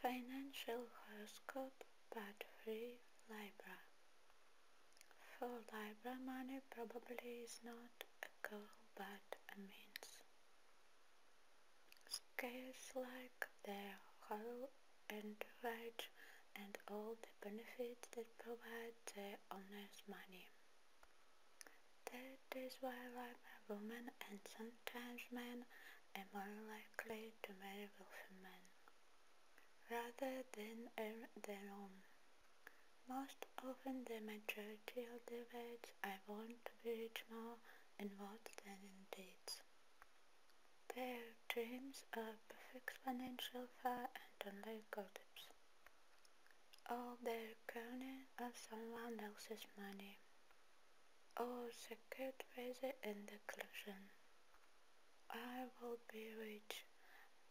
Financial Horoscope but free Libra For Libra, money probably is not a goal but a means. Scales like the their hollow entourage and all the benefits that provide the owner's money. That is why Libra women and sometimes men are more likely to marry wealthy men, rather than earn their own. Most often the majority of the wives I want to be rich more in words and in deeds. Their dreams are perfect financial fire and online gossips. All their crowning of someone else's money. All secured ways and the collusion. I will be rich,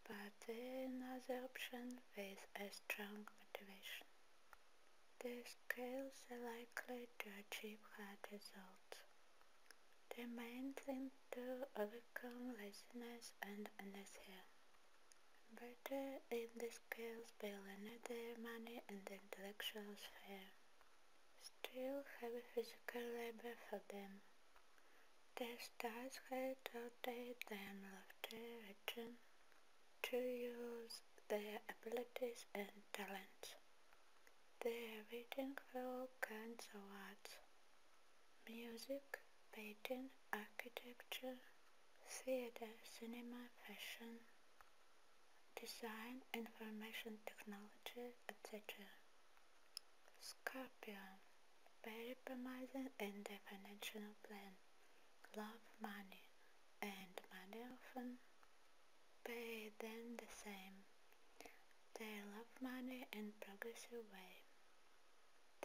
but another option with a strong motivation. The scales are likely to achieve hard results. The main thing to overcome laziness and inertia. Better if the scales believe their money in the intellectual sphere. Still heavy physical labor for them. The stars had rotate their lofty region to use their abilities and talents. They are waiting for all kinds of arts. Music, painting, architecture, theatre, cinema, fashion, design, information technology, etc. Scorpion, very promising in the financial plan, love money, and money often pay them the same. They love money and progress away.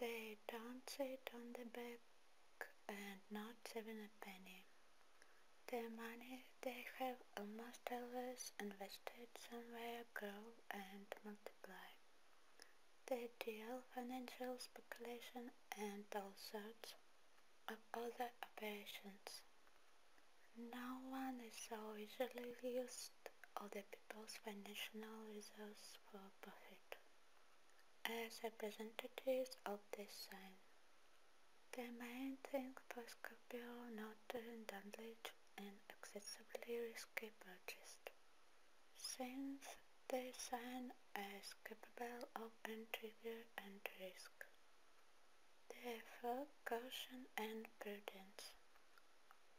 They don't sit on the back and not saving a penny. Their money they have almost always invested somewhere grow and multiply. They deal financial speculation and all sorts of other operations, No one is so easily used other people's financial reserves for profit. As representatives of this sign, the main thing for Scorpio not to indulge in excessively risky purchases, since the sign is capable of intrigue and risk. Therefore, caution and prudence.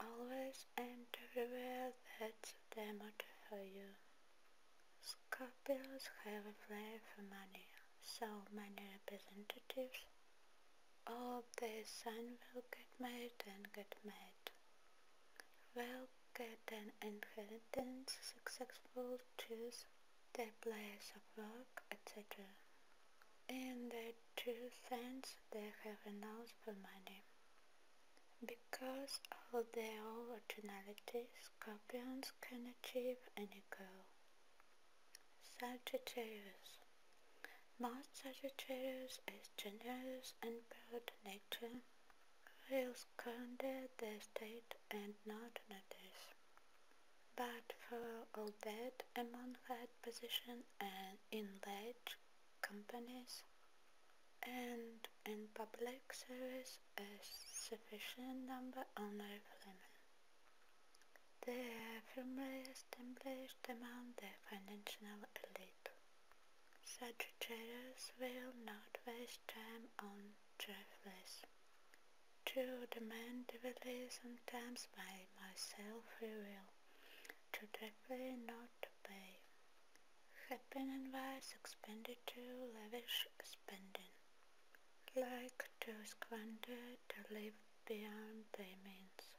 Always and everywhere that's the motto for you. Scorpions have a flair for money, so many representatives all the sun will get mad and get mad. Well, get an inheritance, successful, too their place of work, etc. In their two sense they have renounced for money. Because of their originality, scorpions can achieve any goal. Sagittarius Most Sagittarius is generous and proud nature, will squander their state and not notice. But for all that among that position and in large companies and in public service a sufficient number only of women. They are the established among the financial elite. Such traders will not waste time on trifles to demand devoutly sometimes by myself we will, to directly not to pay. Happy and wise expended to lavish spending, like to squander to live beyond their means.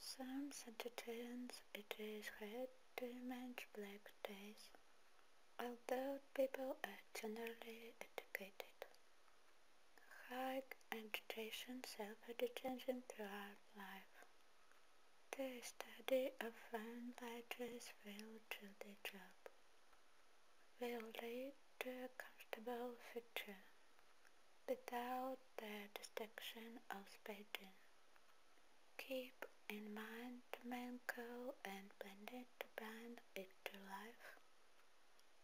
Some entertain; it is hard to manage black days, although people are generally educated it. Hike education self-education throughout life. The study of foreign languages will do the job. Will lead to a comfortable future without the destruction of speaking. Keep in mind to main goal and blended to blend it to life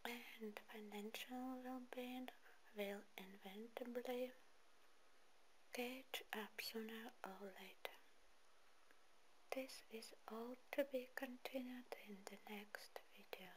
and financial well-being will inevitably catch up sooner or later. This is all to be continued in the next video.